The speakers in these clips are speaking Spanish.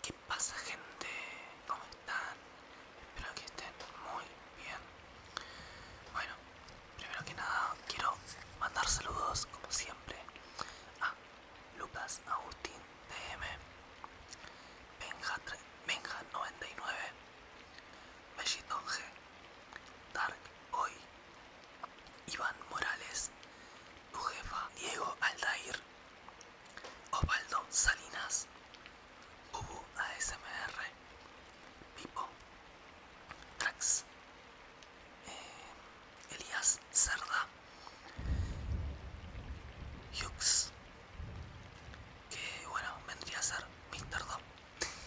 ¿Qué pasa gente? ¿Cómo están? Espero que estén muy bien. Bueno, primero que nada quiero mandar saludos como siempre a Lucas Agustín DM, Benja99, G, Dark Hoy, Iván Morales, tu jefa Diego Aldair, Osvaldo Salinas, Bubu ASMR, Pipo, Trax, eh, Elias Cerda, Hughes, que bueno, vendría a ser Mr. Dom,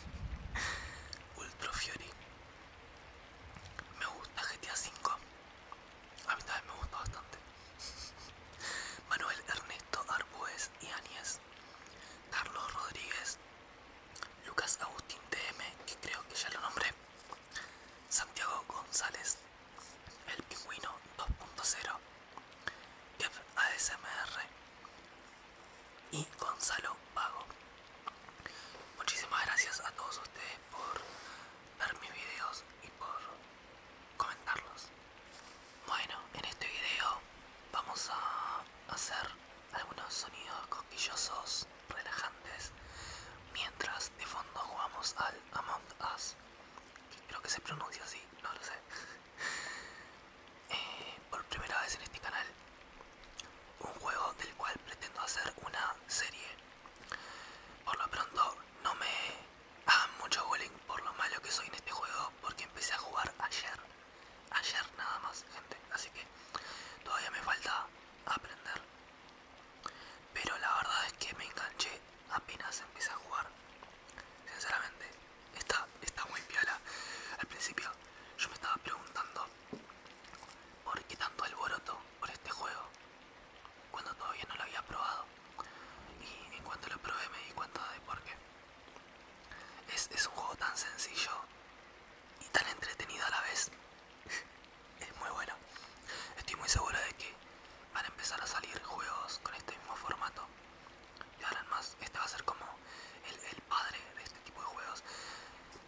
Ultra Fury, me gusta GTA V. A mí también me gustó bastante. Manuel Ernesto Arbuez y Áñez. Carlos Rodríguez. Lucas Agustín DM que creo que ya lo nombré. Santiago González. El Pingüino 2.0. Kev ASMR. Y Gonzalo Pago. Muchísimas gracias a todos ustedes por ver mis videos y por comentarlos. Bueno, en este video vamos a hacer algunos sonidos cosquillosos, relajantes, mientras de fondo jugamos al Among Us. Creo que se pronuncia así, no lo sé. Eh, por primera vez en este canal, un juego del cual pretendo hacer una serie. Por lo pronto no me hagan mucho bullying por lo malo que soy en este juego porque empecé a jugar ayer. Ayer nada más, gente. Así que todavía me falta aprender. Pero la verdad es que me enganché apenas empecé a jugar. Sinceramente, está, está muy piola. Al principio yo me estaba preguntando por qué tanto alboroto por este juego cuando todavía no lo había probado y en cuanto lo probé me di cuenta de por qué es, un juego tan sencillo y tan entretenido a la vez es muy bueno estoy muy seguro de que van a empezar a salir juegos con este mismo formato y ahora más este va a ser como el, el padre de este tipo de juegos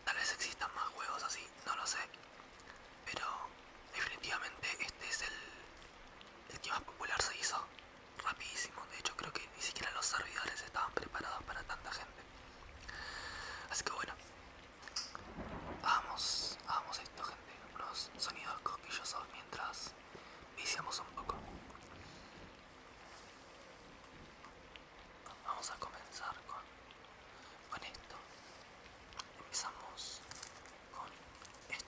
tal vez existan más juegos así no lo sé pero definitivamente este es el, que más popular se hizo rapidísimo de hecho creo que ni siquiera los servidores estaban preparados para tanta gente así que bueno vamos vamos esto gente unos sonidos cosquillosos mientras viciamos un poco vamos a comenzar con con esto empezamos con esto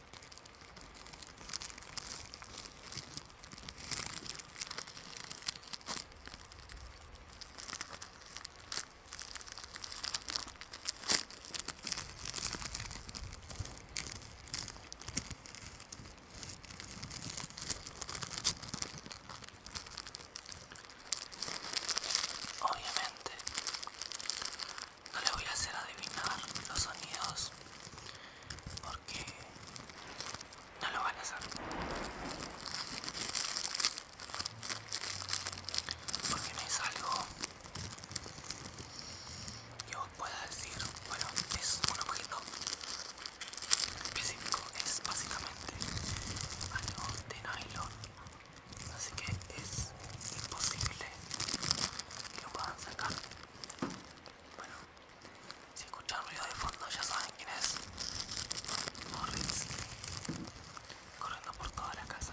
Obviamente, no le voy a hacer adivinar los sonidos porque no lo van a hacer porque no es algo que os pueda decir bueno es un objeto específico es básicamente algo de nylon así que es imposible que lo puedan sacar bueno, si escuchan ruido de fondo ya saben quién es. Morris. Corriendo por toda la casa.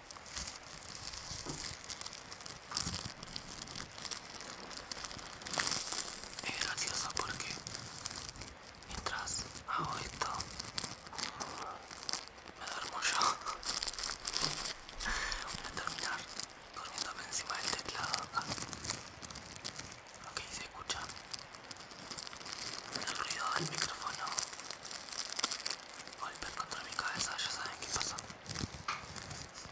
Es gracioso porque mientras hago esto me duermo yo. Voy a terminar durmiéndome encima del teclado acá. Ok, se escucha el ruido del micrófono. Volver contra mi cabeza, ya saben qué pasó.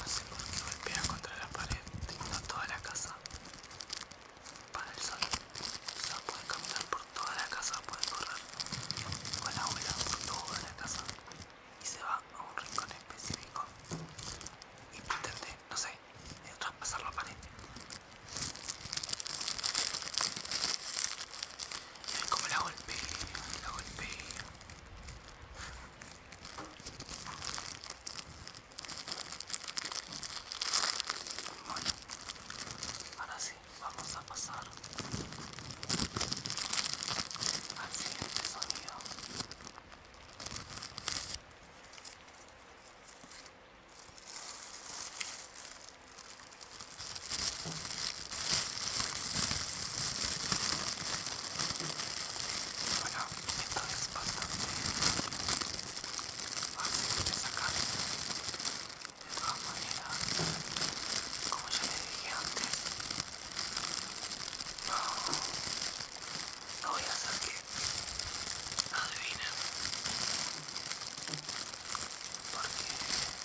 No sé por qué golpea contra la pared, tengo toda la casa para el sol. O sea, puede caminar por toda la casa, puede correr con la ola por toda la casa y se va a un rincón específico y pretende, no sé, eh, traspasar la pared. Y como la golpea, la golpea. Bueno, ahora sí, vamos a pasar al siguiente sonido. como ya les dije antes no, no voy a hacer que adivinen porque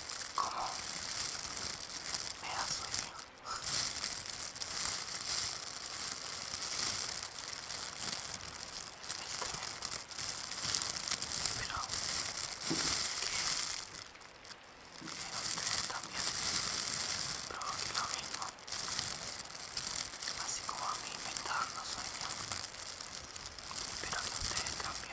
como me da sueño. Es tremendo. Pero que ustedes también provoque lo mismo. Así como a mí me está dando sueño. Espero que ustedes también.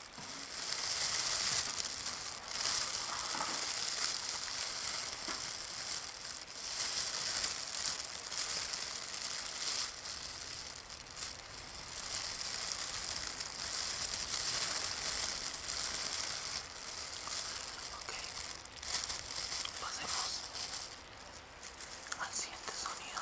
Ok, pasemos al siguiente sonido.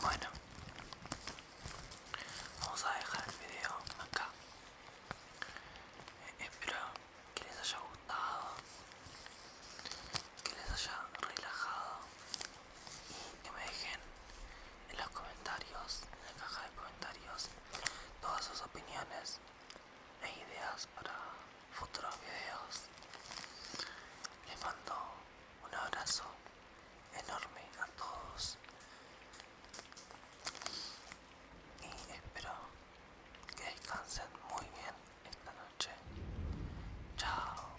Bueno, vamos a dejar el video acá. Eh, espero que les haya gustado, que les haya relajado y que me dejen en los comentarios, en la caja de comentarios, todas sus opiniones e ideas para futuros videos. Les mando un abrazo enorme a todos y espero que descansen muy bien esta noche. Chao.